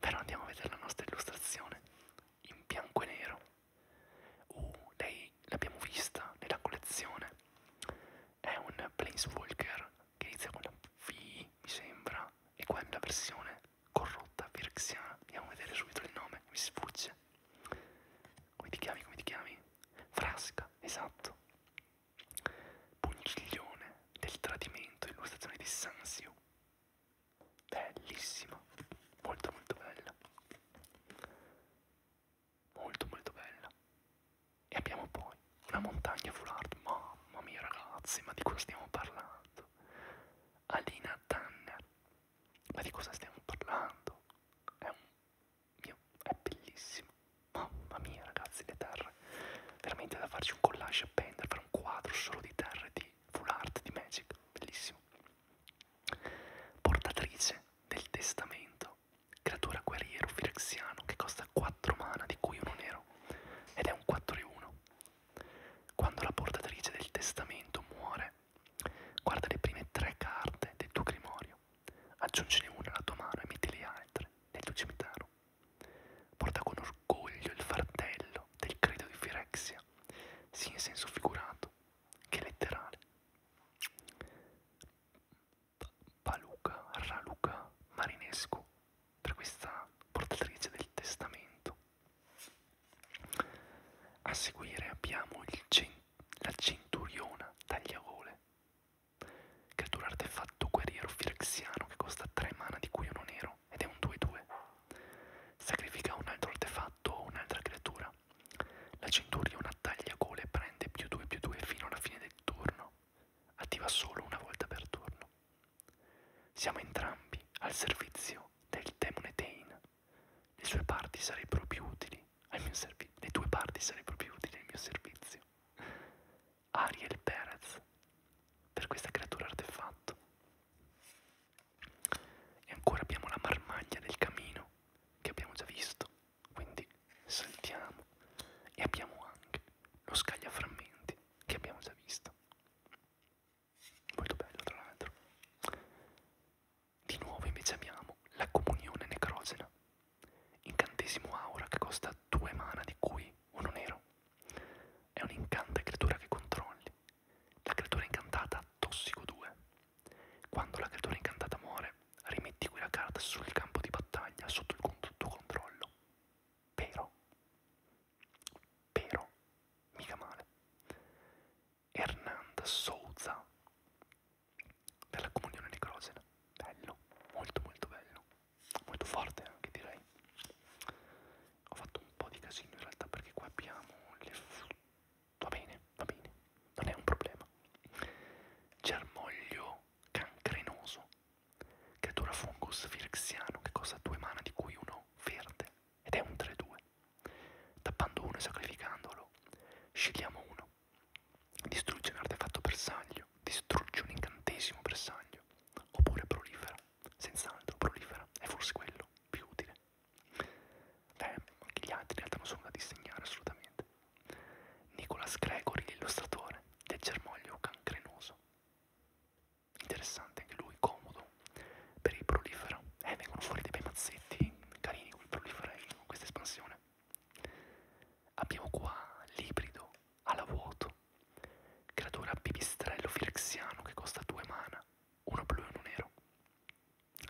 Però andiamo a vedere la nostra illustrazione, in bianco e nero. Uh, lei l'abbiamo vista nella collezione è un Planeswalker che inizia con la V, mi sembra, e qua è una versione corrotta virxiana. Andiamo a vedere subito il nome, mi sfugge. Come ti chiami, come ti chiami? Frasca, esatto. Pungiglione del tradimento, illustrazione di Sansio. Bellissima, molto molto bella. Molto molto bella. E abbiamo poi una montagna full art, mamma mia ragazzi, ma di cosa stiamo parlando? Alina Tanner, ma di cosa stiamo parlando? È un mio, è bellissimo, mamma mia ragazzi, le terre, veramente da farci un collage a pendere, fare un quadro solo di terre di full art di Magic, bellissimo. Portatrice del testamento creatura guerriero firexiano che costa 4 mana di cui uno nero ed è un 4-1. Quando la portatrice del testamento muore, guarda le prime 3 carte del tuo grimorio, aggiungine una alla tua mano e metti le altre nel tuo cimitero. Porta con orgoglio il fardello del credo di Firexia, sia in senso figurato che letterale. Baluca, Raluca Marinescu per questa portatrice del testamento. A seguire abbiamo cen la centuriona tagliavole, creatura artefatto guerriero firexiano che costa 3 mana di cui uno nero ed è un 2-2. Sacrifica un altro artefatto o un'altra creatura. La centuriona tagliagole prende più 2 più 2 fino alla fine del turno attiva solo una volta per turno. Siamo entrambi al servizio del demone Tain. Le sue parti sarebbero più utili al mio servizio. Le tue parti sarebbero più utili al mio servizio. Ariel Perez per questa creatura artefatto. E ancora abbiamo la marmaglia del camino che abbiamo già visto. Quindi saltiamo e abbiamo anche lo scagliaframmenti che abbiamo già visto. Molto bello tra l'altro. Di nuovo invece abbiamo la comunione necrogena, incantesimo aura che costa due mana di cui uno nero. È un incanta creatura che controlli. La creatura incantata ha tossico 2. Quando la creatura incantata muore, rimetti quella carta sul campo di battaglia sotto il tuo controllo Pero, pero, mica male. Hernanda Souza della Comunione di Crozena, bello, molto molto bello, molto forte anche direi. Ho fatto un po' di casino in realtà perché qua abbiamo le... va bene, va bene, non è un problema. Germoglio cancrenoso Creatura fungus firexiano che costa 2 mana di cui uno verde ed è un 3-2. Tappando uno e sacrificandolo, scegliamo uno. Distrugge un artefatto bersaglio, distrugge un incantesimo bersaglio, oppure prolifera. Senz'altro prolifera, è forse quello più utile. Beh, anche gli altri in realtà non sono da disegnare assolutamente. Nicolas Gregory, l'illustratore del germoglio cancrenoso. Interessante anche lui, comodo per il prolifera. Eh, vengono fuori dei bei mazzetti carini con il prolifera eh, con questa espansione. Abbiamo qua l'ibrido alla vuoto, creatura pipistrello firexiano che costa 2 mana, uno blu e uno nero.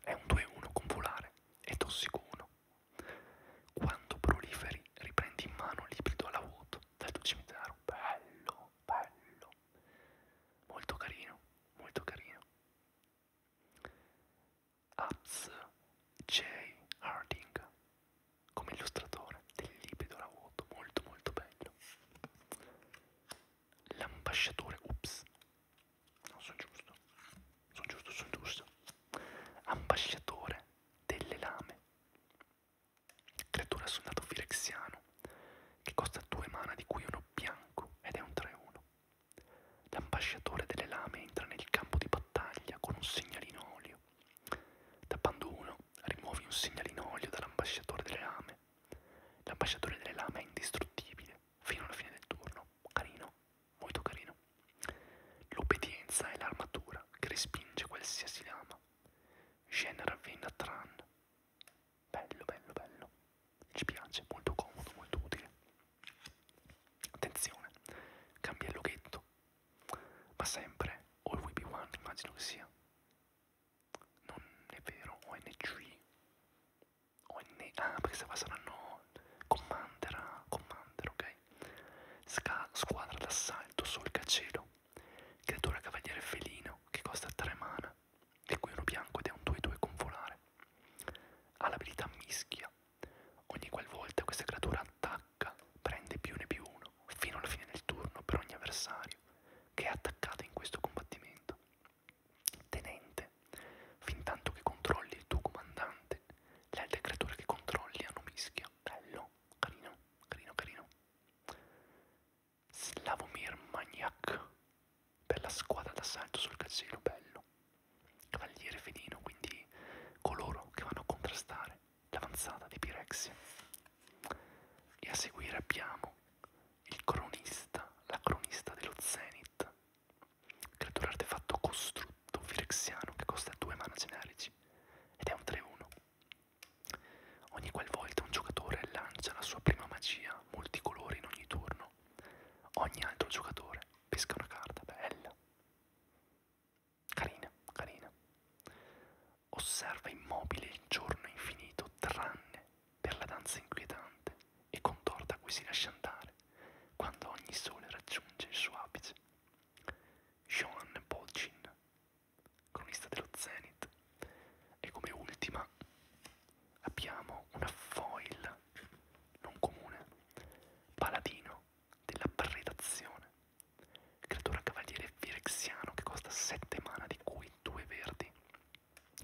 È un 2-1 con volare e tossico 1. Quando proliferi, riprendi in mano l'ibrido alla vuoto dal tuo cimitero. Bello, bello. Molto carino, molto carino. Abs J. Harding come illustratore del libido alla vuoto, molto molto bello. L'ambasciatore, ups, non sono giusto, sono giusto, sono giusto. Ambasciatore delle lame Creatura sul nato filexiano, che costa 2 mana di cui uno bianco ed è un 3-1. L'ambasciatore delle lame entra nel campo di battaglia con un segnalino olio. Tappando uno, rimuovi un segnalino olio dall'ambasciatore delle lame. L'ambasciatore delle lame è indistruttibile fino alla fine del turno. Carino, molto carino. L'obbedienza è l'armatura che respinge qualsiasi lama. Genera Vena Tran. Bello, bello, bello. Ci piace, molto comodo, molto utile. Attenzione, cambia il loghetto. Ma sempre All We Be One, immagino che sia. Non è vero, ONG. ONG. Ah, perché se qua saranno Commander, ah, Commander, ok. Sca squadra d'assalto Solcacielo, creatura cavaliere felino che costa 3 mana, di cui uno bianco ed è un 2-2 con volare. Ha l'abilità mischia, ogni qualvolta questa creatura attacca prende più ne più uno, fino alla fine del turno per ogni avversario che è attaccato in questo combattimento. Tenente, fin tanto che controlli il tuo comandante, le altre creature che controlli hanno mischia, bello, carino carino carino Slavomir Magnac bella squadra d'assalto sul casello bello cavaliere felino quindi coloro che vanno a contrastare l'avanzata di Pirexia e a seguire abbiamo il cronista la cronista dello Zenith creatura artefatto costrutto firexiano che costa 2 mana generici ed è un 3-1 Ogni qualvolta un giocatore lancia la sua prima magia, multicolore in ogni turno, ogni altro giocatore pesca una carta bella. Carina, carina. Osserva immobile il giorno infinito, tranne per la danza inquietante e contorta a cui si lascia andare quando ogni sole raggiunge il suo apice. Sean Bolchin cronista dello Zenith. E come ultima abbiamo una foil non comune, paladino della predazione, creatura cavaliere virexiano che costa 7 mana di cui 2 verdi.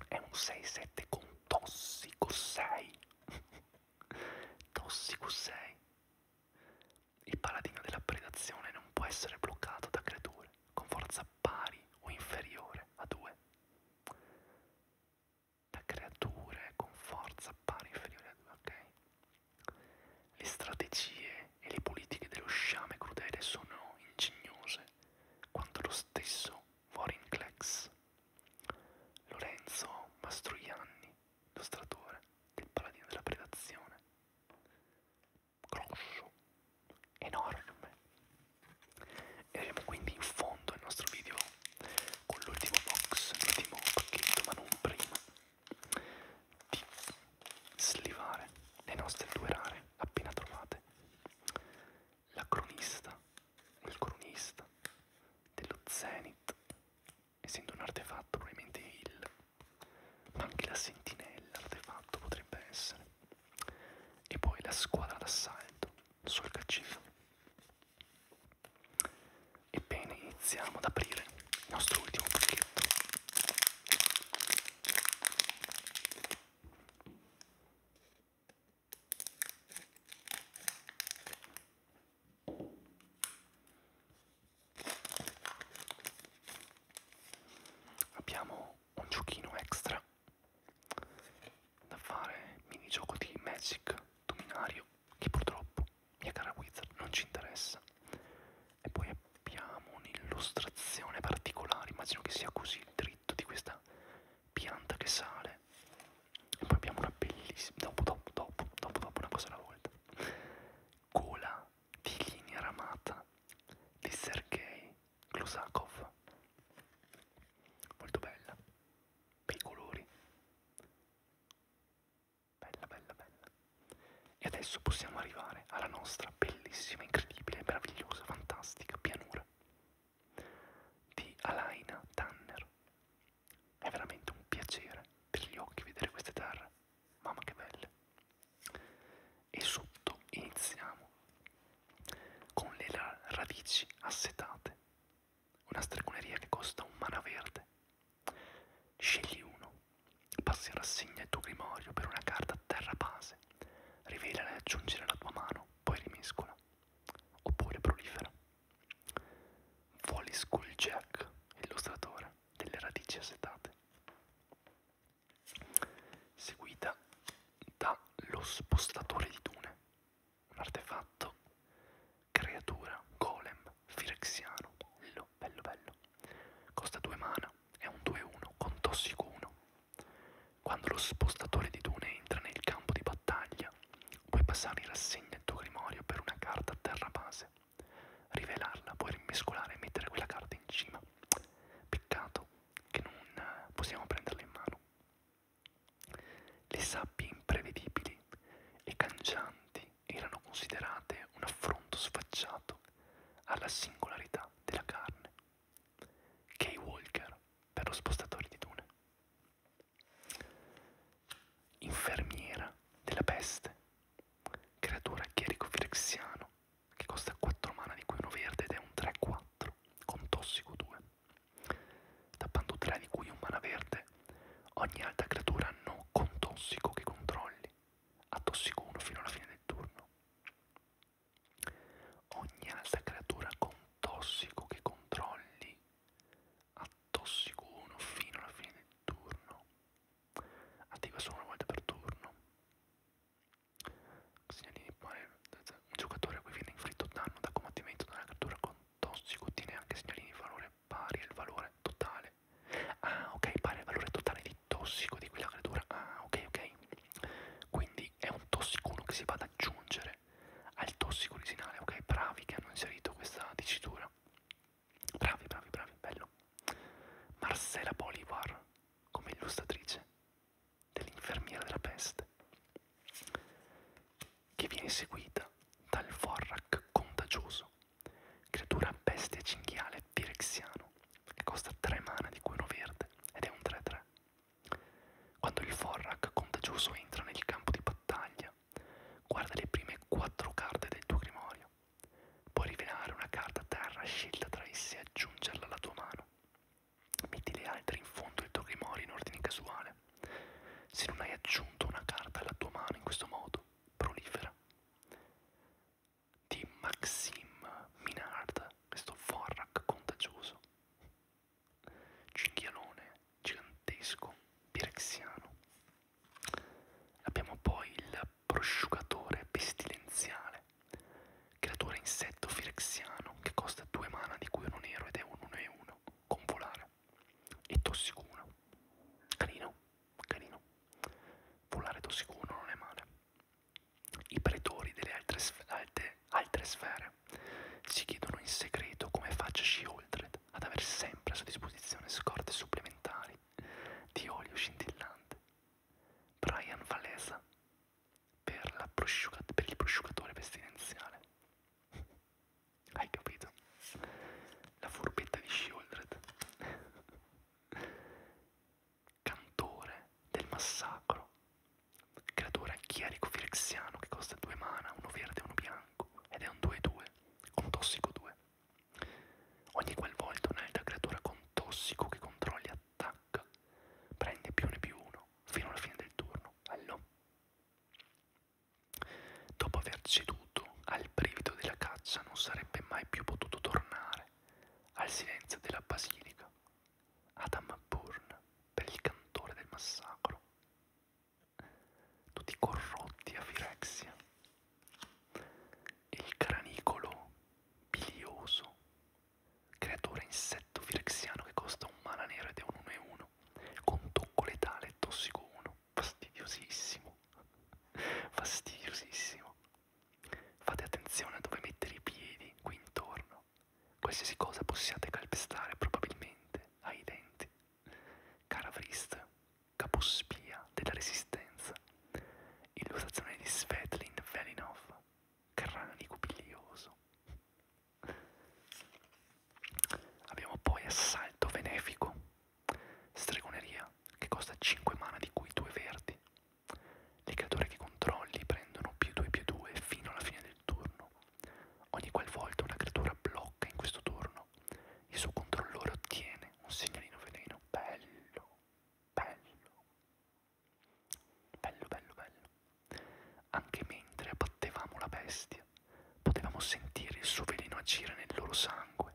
È un 6-7 con tossico 6. tossico 6. Il paradigma della predazione non può essere bloccato da creature con forza pari o inferiore a 2. Da creature con forza pari o inferiore a 2, ok? Le strategie e le politiche dello sciame crudele sono ingegnose quanto lo stesso Warren Clex. Lorenzo Mastroianni, illustratore del paladino della predazione, grosso, enorme. E arriviamo quindi in fondo al nostro video con l'ultimo box, l'ultimo pacchetto, ma non prima di slivare le nostre due rare appena trovate. La cronista, il cronista dello Zenith essendo un artefatto probabilmente il ma anche la sentinella artefatto potrebbe essere e poi la squadra d'assalto sul caccino ebbene iniziamo ad aprire il nostro ultimo pacchetto Abbiamo un giochino extra da fare, minigioco di Magic Dominario, che purtroppo, mia cara Wizard, non ci interessa. E poi abbiamo un'illustrazione particolare, immagino che sia così il dritto di questa pianta che sale. E poi abbiamo una bellissima, dopo, dopo, dopo, dopo, dopo una cosa alla volta. Cola di linea ramata di Sergei Klusakov. Molto bella, bei colori. Bella, bella, bella. E adesso possiamo arrivare alla nostra bellissima, incredibile, meravigliosa, fantastica pianura di Alaina Tanner. È veramente un piacere per gli occhi vedere queste terre mamma che belle e sotto iniziamo con le radici assetate una stregoneria che costa un mana verde scegli uno passi in rassegna il tuo grimorio per una carta terra base rivelala e aggiungi alla tua mano poi rimescola oppure prolifera vuoi school jack illustratore delle radici assetate, seguita da lo spostatore di dune, un artefatto creatura golem firexiano, bello, bello, bello, costa 2 mana, è un 2-1 con tossico 1. Quando lo spostatore di dune entra nel campo di battaglia, puoi passare in rassegna il tuo grimorio per una carta a terra base rivelarla, poi rimescolare e mettere quella carta in cima. Peccato che non eh, possiamo prenderla in mano. Le sabbie imprevedibili e cangianti erano considerate un affronto sfacciato alla singolarità della carne. Kay Walker per lo spostatore di dune. Infermiera della peste Creatura chierico firexiano che costa 4 mana di cui uno verde ed è un 3-4 con tossico 2. Tappando 3 di cui un mana verde, ogni altra creatura no con tossico che controlli ha tossico 1 fino alla fine del turno. Ogni altra creatura con tossico che controlli ha tossico 1 fino alla fine del turno attiva solo una volta per turno. Segnalini un giocatore a cui viene inflitto danno da combattimento da una cattura con tossico ottiene anche segnalini di valore pari al valore totale. Ah, ok, pari al valore totale di tossico di quella creatura. Ah, ok, ok. Quindi è un tossico 1 che si va ad aggiungere al tossico originale. Ok, bravi che hanno inserito questa dicitura. Bravi, bravi, bravi, bello. Marcela Bolivar come illustratrice dell'infermiera della peste, che viene seguita dal Vorrak contagioso, creatura bestia cinghiale pirexiano, che costa 3 mana di cui uno verde ed è un 3-3. Quando il Vorrak contagioso entra nel campo di battaglia, guarda le prime 4 carte del tuo grimorio mano. Puoi rivelare una carta a terra scelta tra esse e aggiungerla alla tua mano. Metti le altre in fondo del tuo grimorio in ordine casuale. Se non hai aggiunto una carta alla tua mano in questo modo, prolifera. Di Maxime Minard, questo Forrak contagioso. Cinghialone, gigantesco, pirexiano, Abbiamo poi il prosciugatore pestilenziale, creatura insetto firexiano che costa 2 mana di cui uno nero ed è un 1 e 1 con volare e tossicuno. Carino, carino. Volare tossicuno non è male. I pretori delle altre, sf alte, altre sfere si chiedono in segreto come faccia Shieldred ad avere sempre a sua disposizione scorte supplementari di olio scintillante. Brian Valesa per, la per il prosciugatore pestilenziale. Hai capito? La furbetta di Shieldred. Cantore del massacro. Creatore chierico firexiano che costa due mana, uno verde e uno bianco. Ed è un 2-2 con tossico 2. Ogni qualvolta un'altra creatura con tossico che controlli attacca, prende più ne più uno fino alla fine del turno. Bello. Dopo aver ceduto al brivido della caccia non sarebbe mai più potuto tornare al silenzio della basilica, ad Amburn per il cantore del massacro. Tutti corrotti a Firexia, il cranicolo bilioso, creatura insetto firexiano che costa un mana nero ed è un 1-1, con tocco letale e tossico 1, fastidiosissimo, fastidiosissimo. Fate attenzione a dove mettere i piedi qui intorno, qualsiasi cosa possiate calpestare probabilmente ai denti. Cara Vrist, capospia della resistenza, illustrazione di Svetlin Velinov, Crani cupiglioso. Abbiamo poi Assalto Benefico, Stregoneria, che costa 5 mana di cui 2 verdi. Le creature che controlli prendono più 2 più 2 fino alla fine del turno. Ogni qualvolta una creatura blocca in questo turno, il suo controllore ottiene un segnalino veleno bello bello, bello, bello, bello. Anche mentre abbattevamo la bestia, potevamo sentire il suo veleno agire nel loro sangue,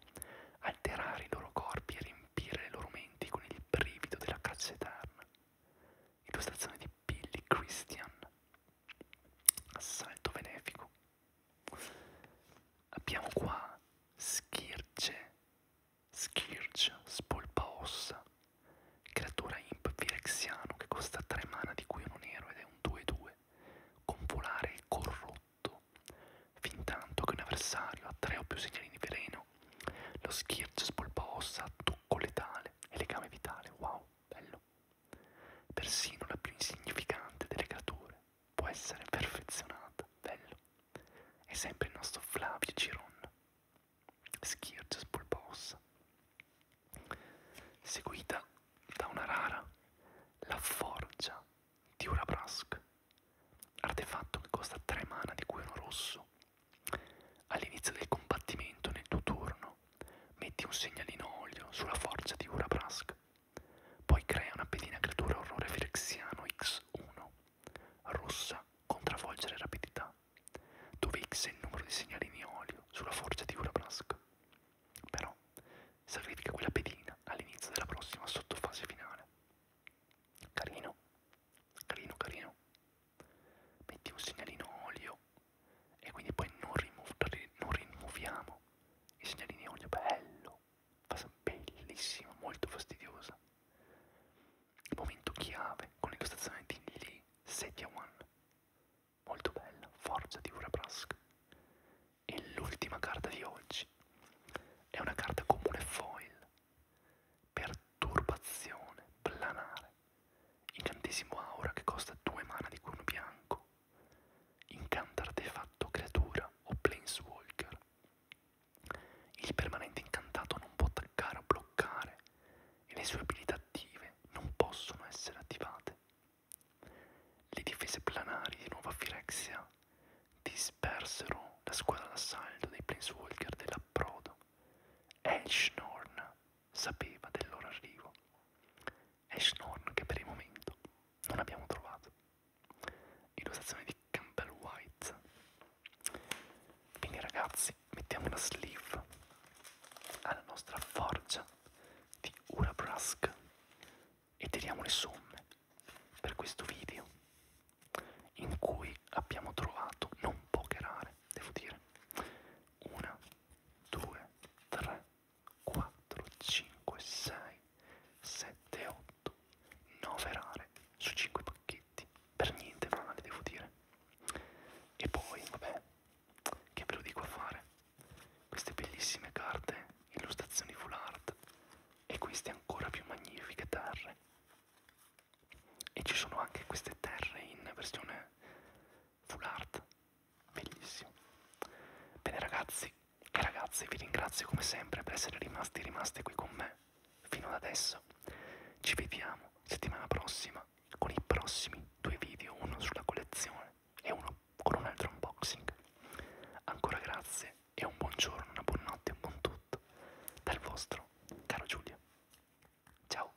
alterare i loro corpi e riempire le loro menti con il brivido della caccia eterna. Illustrazione di Billy Christian. Assalto benefico. Abbiamo qua Schirce, Schirce, Spolpaossa, creatura imp virexiano che costa 3 mana di cui uno nero ed è un 2-2, con volare corrotto. Fintanto che un avversario ha 3 o più segnali di veleno, lo Schirce Spolpaossa ha tocco letale e legame vitale, wow, bello. Persino la più insignificante delle creature può essere perfezionata, bello. È sempre il nostro Flavio Giron, Schirges Bulbosa, seguita da una rara, la forgia di Urabrask, artefatto che costa 3 mana di cui uno rosso. All'inizio del combattimento nel tuo turno metti un segnalino olio sulla forgia di Urabrask poi crea una pedina creatura orrore firexiano X1, rossa con travolgere rapidità, dove X è il numero di segnalini olio sulla forza di Urabrask. Però sacrifica quella pedina all'inizio della prossima sottofase finale. Carino, carino, carino. Metti un segnalino olio e quindi poi non, rimu non rimuoviamo i segnalini olio. Bello, bellissima, molto fastidiosa. Il momento chiave con l'incostazione di Lee Setiawan, molto bella, forza di Uraprask. E l'ultima carta di oggi è una carta comune foil, perturbazione, planare, incantesimo aura che costa 2 mana di cuno bianco, incanta artefatto creatura o planeswalker. Il permanente incantato non può attaccare o bloccare e le sue abilità attive non possono essere attivate. Le difese planari di Nuova Firexia dispersero la squadra d'assalto dei Planeswalker dell'approdo. Elshnorn sapeva del loro arrivo. Elshnorn che per il momento non abbiamo trovato illustrazione di Campbell White quindi ragazzi mettiamo una sleeve alla nostra forgia di Urabrask e tiriamo le somme per questo video in cui abbiamo trovato non poche rare devo dire 1 2 3 4 5 6 7 8 fatto noverare su 5 pacchetti, per niente male devo dire. E poi, vabbè, che ve lo dico a fare? Queste bellissime carte, illustrazioni full art e queste ancora più magnifiche terre. E ci sono anche queste terre in versione full art, bellissimo. Bene ragazzi, e ragazzi, vi ringrazio come sempre per essere rimasti rimaste qui con me fino ad adesso. Ci vediamo settimana prossima con i prossimi due video, uno sulla collezione e uno con un altro unboxing. Ancora grazie e un buongiorno, una buonanotte, un buon tutto dal vostro caro Giulio. Ciao.